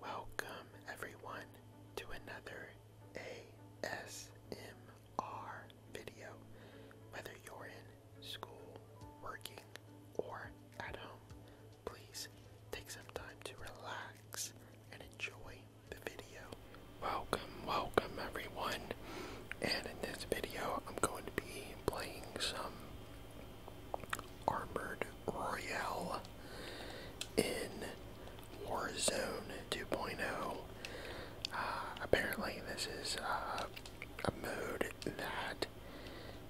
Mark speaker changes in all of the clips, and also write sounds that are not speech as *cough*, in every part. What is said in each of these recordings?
Speaker 1: Welcome, everyone, to another ASMR video. Whether you're in school, working, or at home, please take some time to relax and enjoy the video. Welcome, welcome, everyone. And in this video, I'm going to be playing some Armored Royale in Warzone 2.0. Uh, apparently, this is uh, a mode that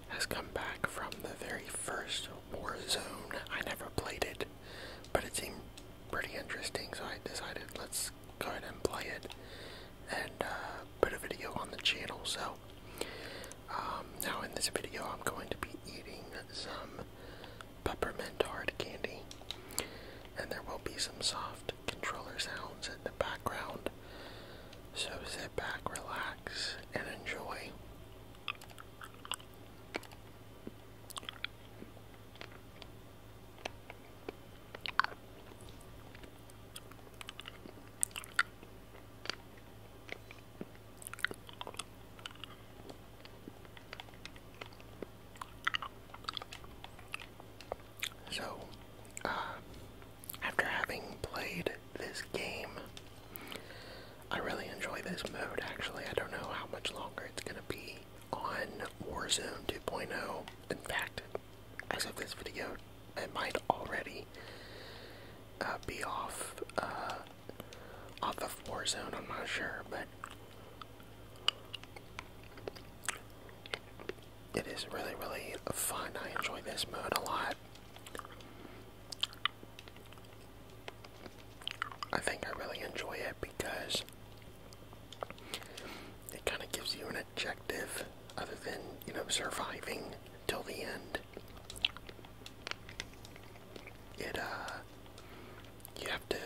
Speaker 1: has come back from the very first Warzone. I never played it, but it seemed pretty interesting, so I decided let's go ahead and play it and uh, put a video on the channel. So, um, now in this video I'm going to be eating some peppermint hard candy and there will be some soft controller sounds in the background. So sit back, relax, and enjoy. So, uh, after having played this game, I really enjoy this mode actually. I don't know how much longer it's going to be on Warzone 2.0. In fact, as of this video, it might already uh, be off uh, off the of zone, I'm not sure, but it is really, really fun. I enjoy this mode a lot. I think I really enjoy it because it kind of gives you an objective other than, you know, surviving till the end. It uh you have to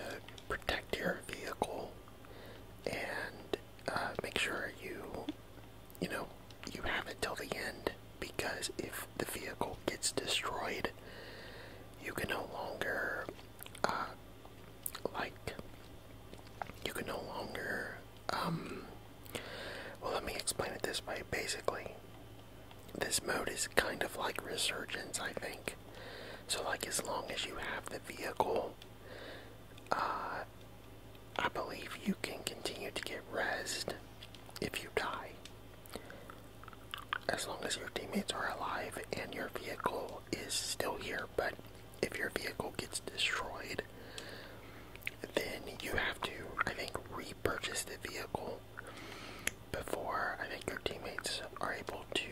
Speaker 1: protect your vehicle and uh, make sure you you know you have it till the end because if the vehicle gets destroyed you can no longer uh like you can no longer um well, let me explain it this way. Basically, this mode is kind of like Resurgence, I think. So, like, as long as you have the vehicle, uh, I believe you can continue to get rezzed if you die. As long as your teammates are alive and your vehicle is still here, but if your vehicle gets destroyed, then you have to, I think, repurchase the vehicle before I think your teammates are able to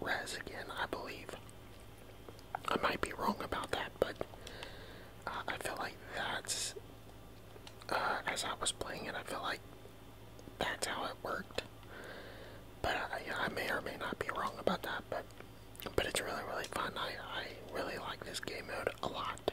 Speaker 1: res again, I believe. I might be wrong about that, but uh, I feel like that's, uh, as I was playing it, I feel like that's how it worked. But I, uh, I may or may not be wrong about that, but but it's really, really fun. I, I really like this game mode a lot.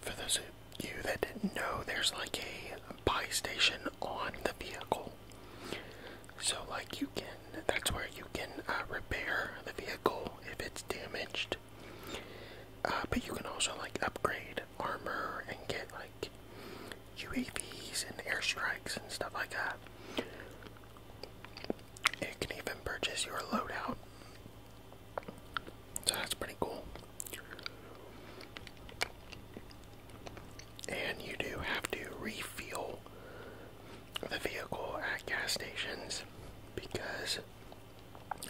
Speaker 1: For those of you that didn't know, there's like a buy station on the vehicle. So, like, you can, that's where you can uh, repair the vehicle if it's damaged. Uh, but you can also like upgrade armor and get like UAVs and airstrikes and stuff like that. You can even purchase your loadout. So that's pretty cool. And you do have to refuel the vehicle at gas stations because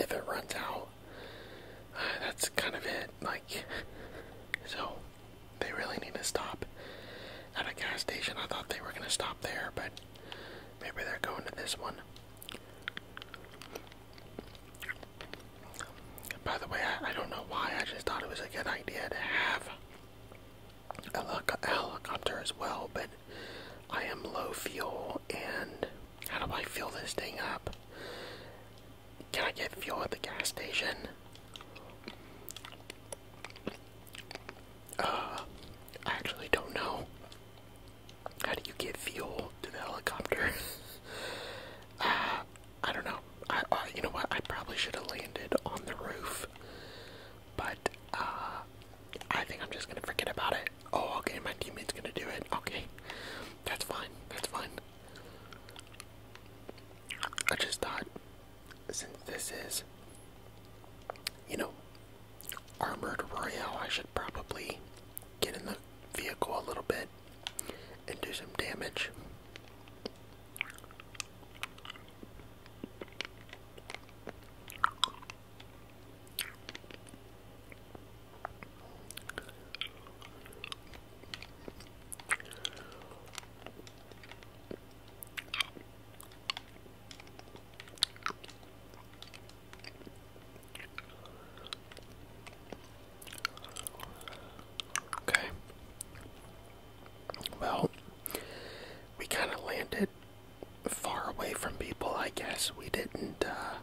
Speaker 1: if it runs out, *sighs* that's kind of it. Like, *laughs* so they really need to stop at a gas station. I thought they were gonna stop there, but maybe they're going to this one. By the way, I don't know why. I just thought it was a good idea to have a helicopter as well, but I am low fuel and how do I fill this thing up? Can I get fuel at the gas station? Uh, I actually don't know. How do you get fuel to the helicopter? *laughs* uh, I don't know. I, uh, you know what? I probably should have landed on the roof, but uh, I think I'm just gonna forget about it. Oh, okay, my teammate's gonna do it. Okay, that's fine. That's fine. I just thought, since this is, you know, Armored Royale, I should probably get in the vehicle a little bit and do some damage. Okay. Well, we kind of landed far away from people, I guess. We didn't, uh,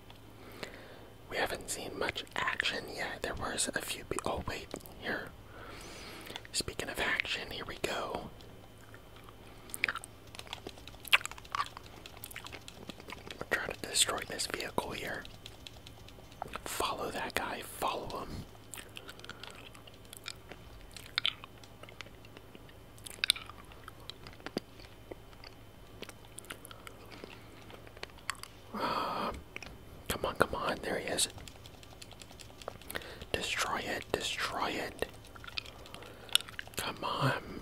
Speaker 1: we haven't seen much action yet. There was a few. Oh wait, here. Speaking of action, here we go. we to destroy this vehicle here. Follow that guy. Follow him. *sighs* come on, come on. There he is. Destroy it. Destroy it. Come on.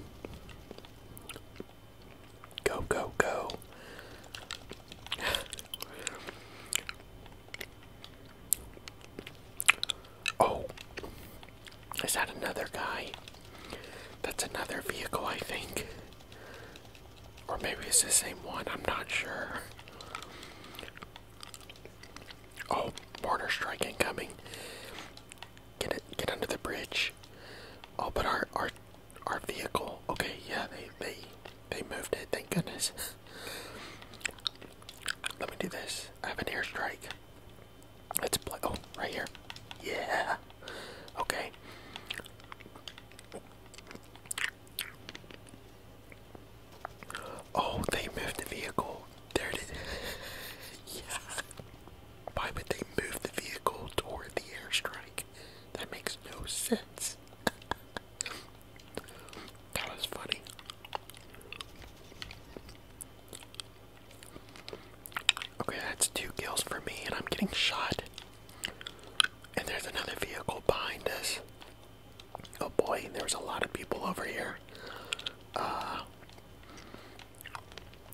Speaker 1: Go, go, go. *sighs* oh. Is that another guy? That's another vehicle, I think. Or maybe it's the same one, I'm not sure. Oh, border strike incoming. Get it get under the bridge. Oh, but our our our vehicle. Okay, yeah, they they they moved it, thank goodness. Let me do this. I have an airstrike. Let's play. Oh, right here. Yeah. Okay. Oh, they moved the vehicle. There it is. *laughs* yeah. Why would they move the vehicle toward the airstrike? That makes no sense. *laughs* that was funny. Okay, that's two kills for me, and I'm getting shot. And there's another vehicle behind us. Oh boy, there's a lot of people over here. Uh,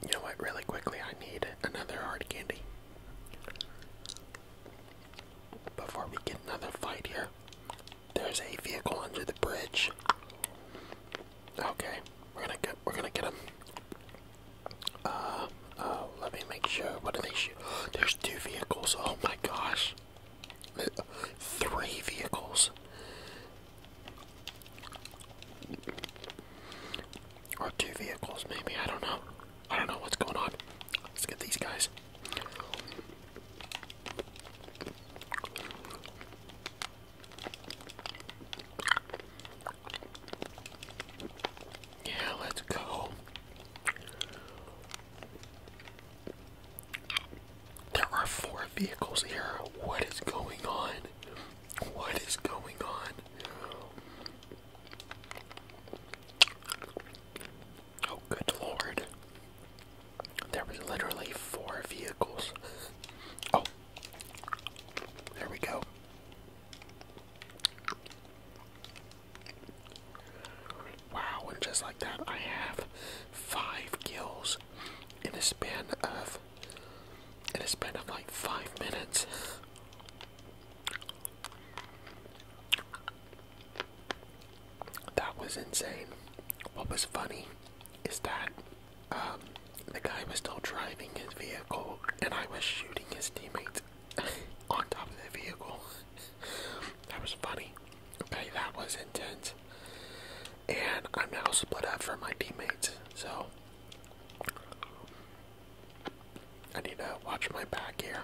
Speaker 1: you know what? Really quickly, I need another hard candy before we get another fight here. There's a vehicle under the bridge. Okay, we're gonna get we're gonna get him. Uh, uh, let me make sure. What are they shoot? There's two vehicles. Oh my gosh, three vehicles. Or two vehicles, maybe. I don't know. I don't know what's going on. Let's get these guys. Yeah, let's go. There are four vehicles here. What is going on? What is going on? Oh, good lord. There was literally four vehicles. Oh, there we go. Wow, and just like that, I have five kills in a span of in a span of like five minutes. That was insane. What was funny is that um, the guy was still driving his vehicle and I was shooting his teammates *laughs* on top of the vehicle. *laughs* that was funny. Okay, that was intense. And I'm now split up from my teammates, so I need to watch my back here.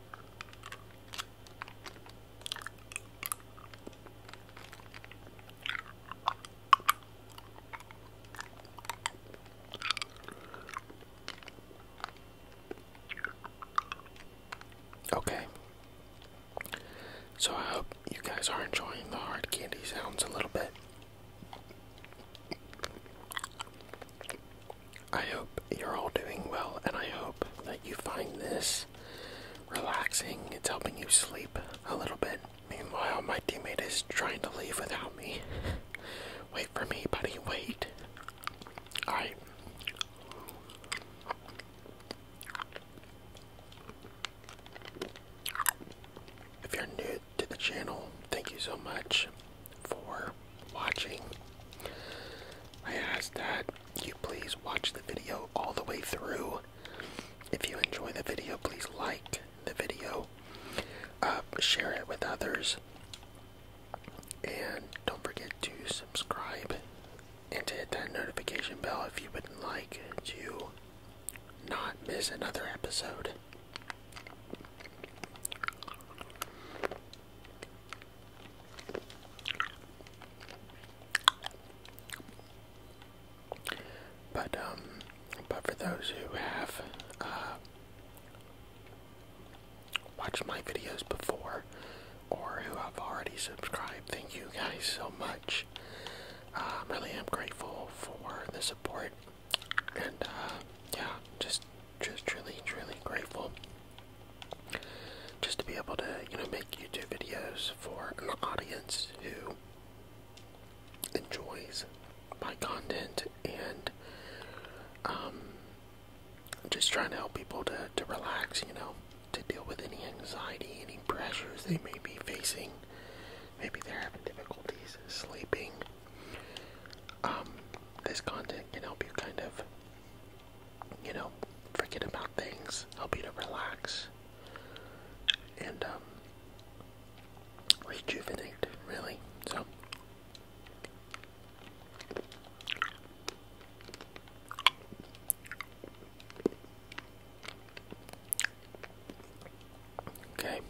Speaker 1: Okay. So I hope you guys are enjoying the hard candy sounds a little bit. I hope you're all doing well, and I hope that you find this relaxing. It's helping you sleep a little bit. Meanwhile, my teammate is trying to leave without me. *laughs* Wait for me, buddy, wait. If you're new to the channel, thank you so much for watching. I ask that you please watch the video all the way through. If you enjoy the video, please like the video, uh, share it with others, and don't forget to subscribe and to hit that notification bell if you would like to not miss another episode. But um, but for those who have uh, watched my videos before, or who have already subscribed, thank you guys so much. Um, really am grateful for the support, and uh, yeah, just just truly, truly grateful just to be able to, you know, make YouTube videos for an audience who enjoys my content and um, just trying to help people to, to relax, you know, to deal with any anxiety, any pressures they may be facing. Maybe they're having difficulties sleeping. Um, this content can help you kind of, you know, forget about things, help you to relax, and um, rejuvenate, really. So. Okay.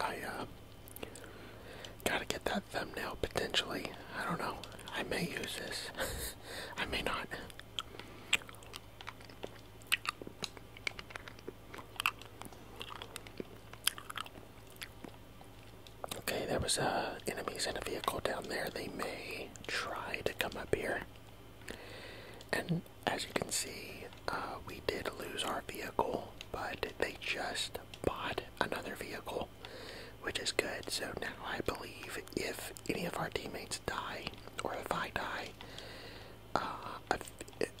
Speaker 1: I uh, gotta get that thumbnail potentially. I don't know. I may use this. *laughs* I may not. Okay, there was uh, enemies in a vehicle down there. They may try to come up here. And as you can see, uh, we did lose our vehicle, but they just bought another vehicle, which is good. So now I believe if any of our teammates die, or if I die, uh,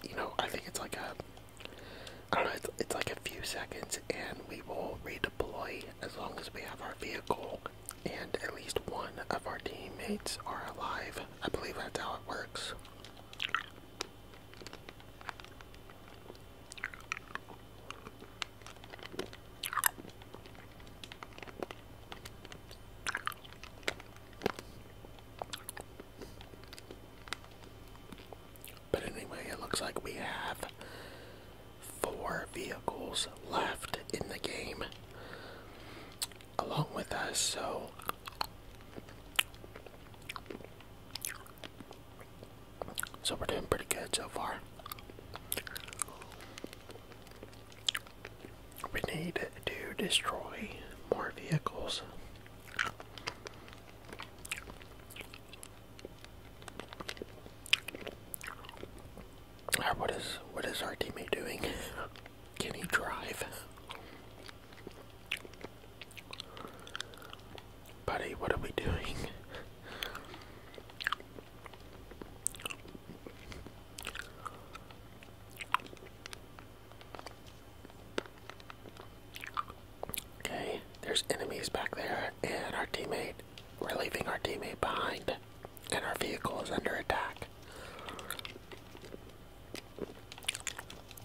Speaker 1: you know, I think it's like a, I don't know, it's like a few seconds, and we will redeploy as long as we have our vehicle and at least one of our teammates are alive. I believe that's how it works. But anyway, it looks like we have four vehicles left in the game along with us, so so we're doing pretty good so far. We need to destroy more vehicles. What is what is our teammate doing? *laughs* Can he drive? Buddy, what are we doing? okay, there's enemies back there, and our teammate. We're leaving our teammate behind, and our vehicle is under attack.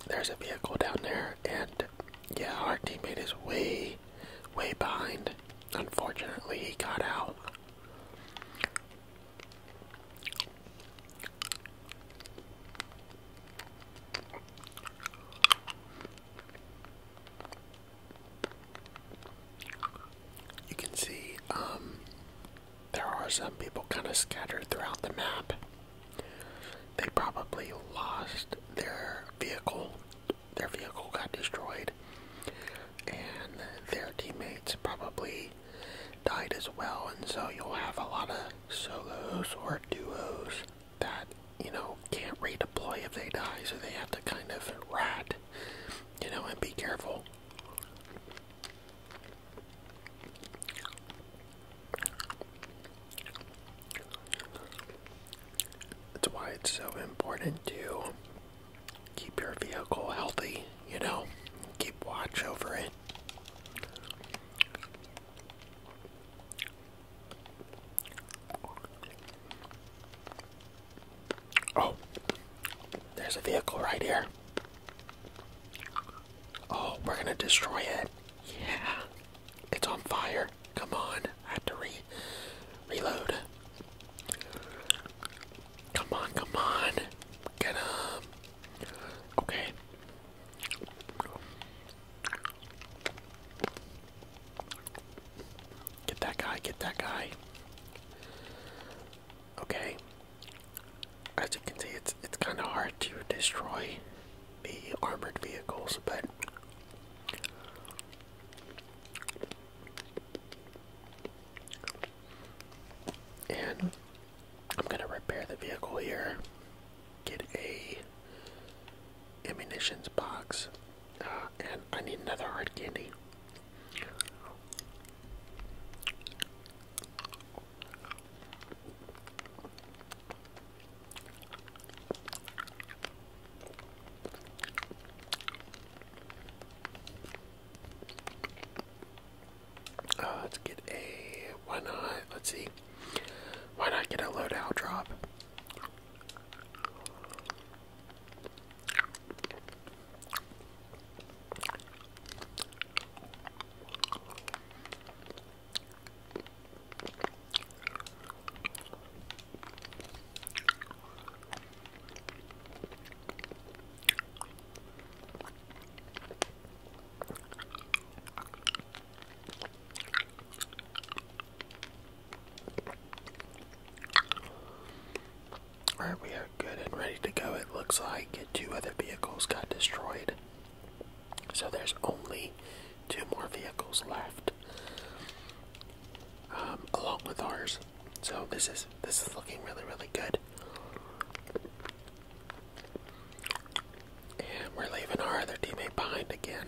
Speaker 1: There's a vehicle down there, and yeah, our teammate is way, way behind. Unfortunately, he got out. You can see um, there are some people kind of scattered throughout the map. They probably lost their vehicle. Their vehicle got destroyed, and their teammates probably died as well. And so you'll have a lot of solos or duos that you know can't redeploy if they die, so they have to kind of rat, you know, and be careful. That's why it's so important to keep your vehicle healthy, you know, keep watch over it. Oh, there's a vehicle right here. Oh, we're gonna destroy it. Yeah. It's on fire. Come on. I have to re reload. Come on, come on. Get him. Okay. Get that guy, get that guy. Okay as you can see, it's it's kind of hard to destroy the armored vehicles, but and I'm gonna repair the vehicle here. Get a ammunition box, uh, and I need another hard candy. Uh, let's get a why not? Let's see. Why not get a loadout drop? Alright, we are good and ready to go. It looks like two other vehicles got destroyed. So there's only two more vehicles left um, along with ours. So this is this is looking really really good. And we're leaving our other teammate behind again.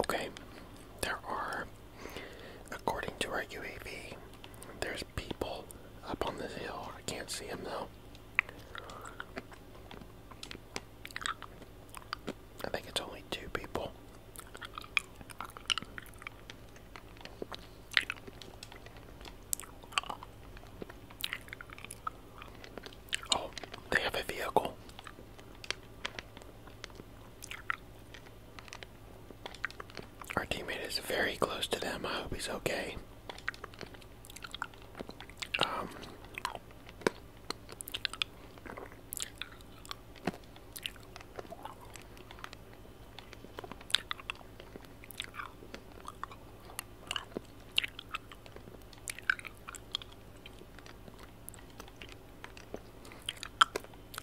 Speaker 1: Okay, there are According to our UAV, there's people up on this hill. I can't see them though. I think it's only two people. Oh, they have a vehicle. Our teammate is very close to them. I hope he's okay. Um,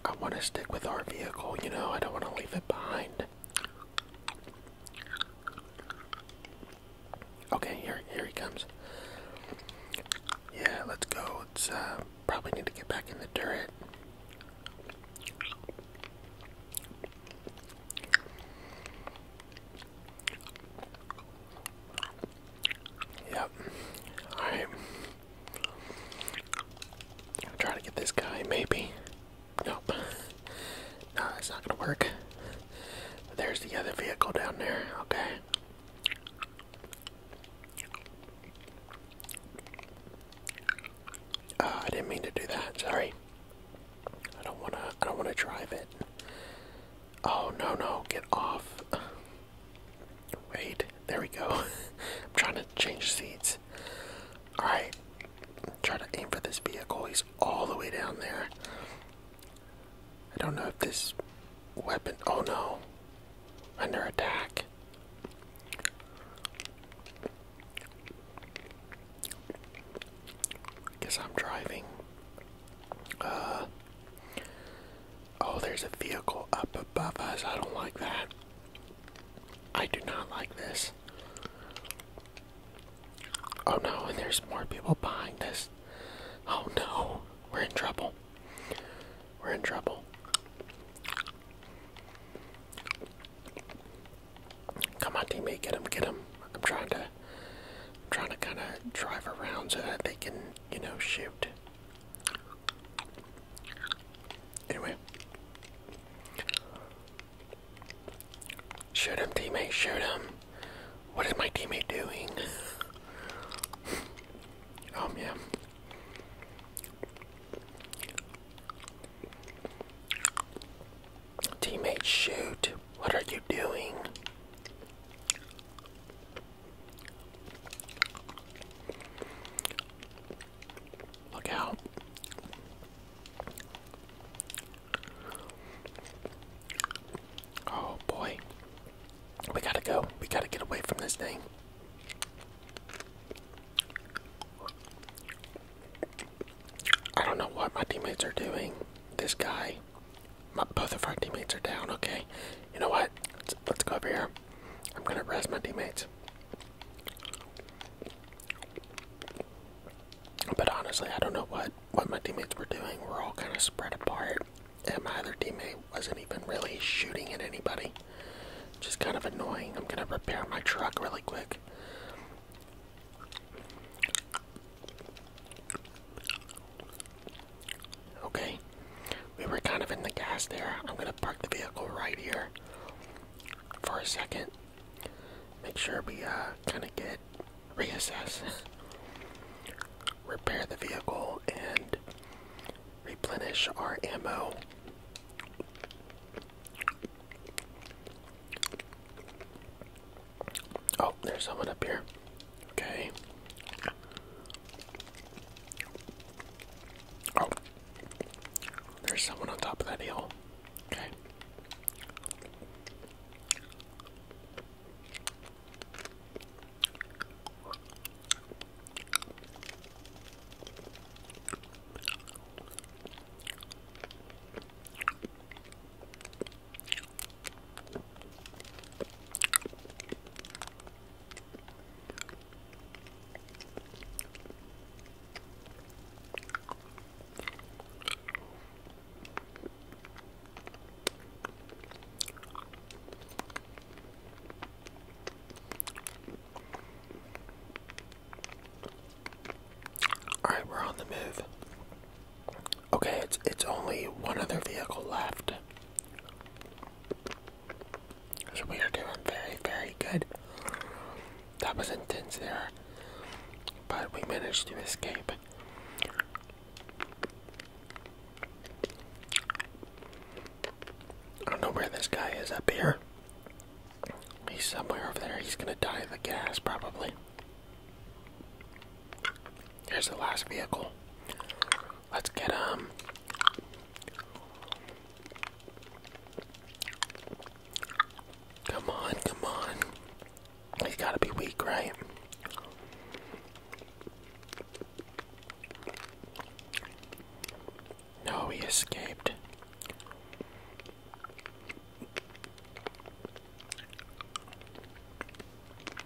Speaker 1: I want to stick with our vehicle, you know, I don't want to leave it behind. Okay, here, here he comes. Yeah, let's go. It's uh, probably need to get back in the turret. Yep. All right. I'll try to get this guy, maybe. Nope. No, it's not gonna work. There's the other vehicle down there, okay. Uh, I didn't mean to do that, sorry. I don't wanna I don't wanna drive it. Oh no no, get off. Wait, there we go. *laughs* I'm trying to change seats. Alright, try to aim for this vehicle. He's all the way down there. I don't know if this weapon. Oh no. Under attack. Guess I'm driving. Uh, Oh, there's a vehicle up above us. I don't like that. I do not like this. Oh no, and there's more people behind us. Oh no, we're in trouble. We're in trouble. Come on, team, get him, get him. I'm trying to, I'm trying to kind of drive around so that they can, you know, shoot. Anyway. Shoot him, teammate, shoot him. What is my teammate doing? *laughs* um, yeah. Teammate, shoot. What are you doing? Look out. Oh boy. We gotta go. We gotta get away from this thing. I don't know what my teammates are doing. This guy. both of our teammates are down, okay. You know what? Let's, go over here. I'm gonna rest my teammates. But honestly, I don't know what what my teammates were doing. We're all kind of spread apart, and my other teammate wasn't even really shooting at anybody. Just kind of annoying. I'm gonna repair my truck really quick. Okay, we were kind of in the gas there. I'm gonna park the vehicle right here for a second. Make sure we uh, kind of get reassess, *laughs* repair the vehicle, and replenish our ammo. Oh, there's someone up here. Okay. Oh. There's someone on top of that hill. Okay. All right, we're on the move. Okay, it's it's only one other vehicle left. So we are doing very, very good. That was intense there. But we managed to escape. I don't know where this guy is up here. He's somewhere over there. He's gonna die of the gas, probably. Here's the last vehicle. Let's get, him. Um, Come on, come on. He's gotta be weak, right? No, he escaped.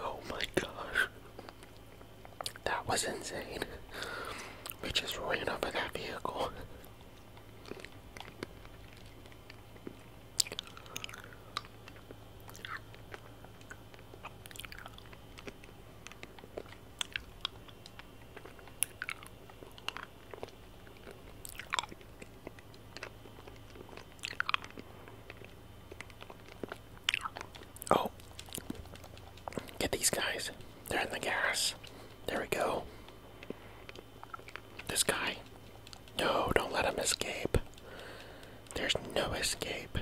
Speaker 1: Oh my gosh. That was insane. We just ran over that vehicle. Oh, get these guys. They're in the gas. There we go. This guy. No, don't let him escape. There's no escape.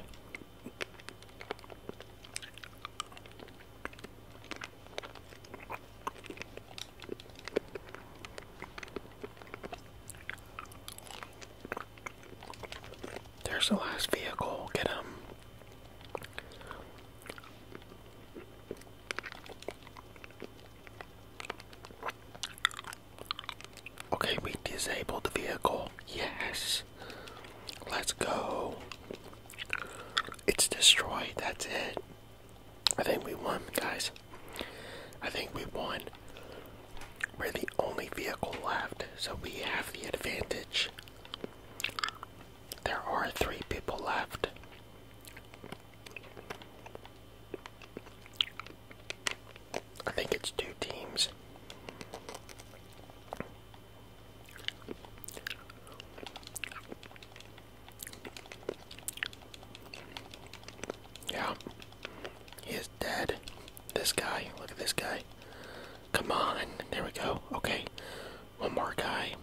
Speaker 1: There's the last vehicle. Get him. Okay, we disabled the vehicle. Yes. Let's go. It's destroyed. That's it. I think we won, guys. I think we won. We're the only vehicle left, so we have the advantage. There are three people left. I think it's two teams. Yeah. He is dead. This guy. Look at this guy. Come on. There we go. Okay. One more guy.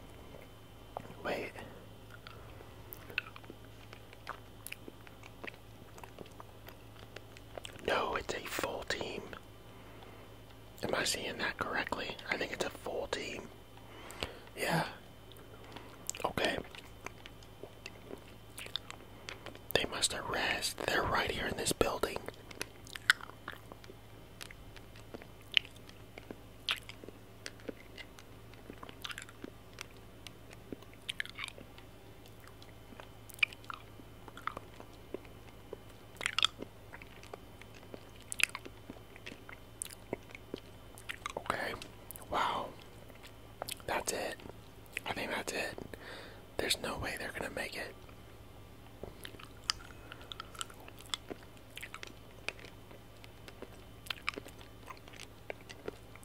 Speaker 1: Wait. No, it's a full team. Am I seeing that correctly? I think it's a full team. Yeah. Okay. They must arrest. They're right here in this building. Okay. Wow. That's it. I think that's it. There's no way they're going to make it.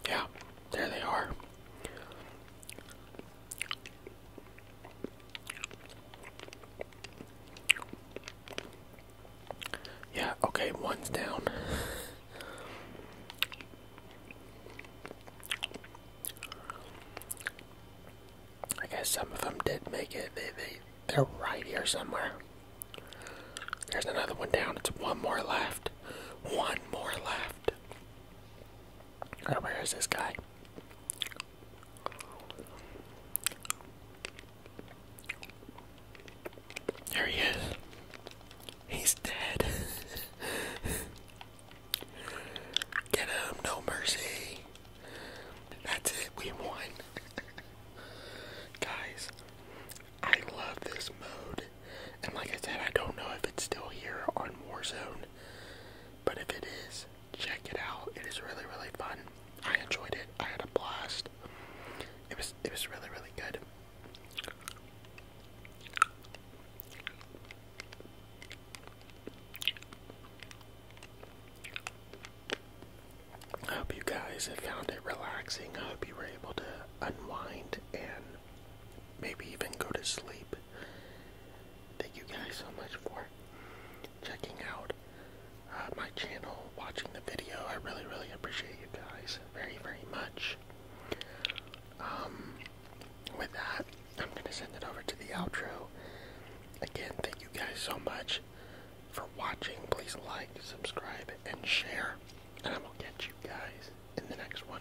Speaker 1: Yeah, there they are. Yeah, okay, one's down. I guess some of them did make it. They, they, they're right here somewhere. There's another one down. It's one more left. One more left. Oh, where is this guy? There he is. He's dead. Get him, no mercy. That's it, we won. Guys, I love this mode. And like I said, I don't know if it's still here on Warzone, but if it is, check it out. It is really, really fun. I enjoyed it. I had a blast. It was it was really, really good. I hope you guys have found it relaxing. I hope you were able to unwind and maybe even go to sleep. Thank you guys so much for checking out my channel, watching the video. I really, really appreciate you guys very, very much. Um, with that, I'm going to send it over to the outro. Again, thank you guys so much for watching. Please like, subscribe, and share. And I will catch you guys in the next one.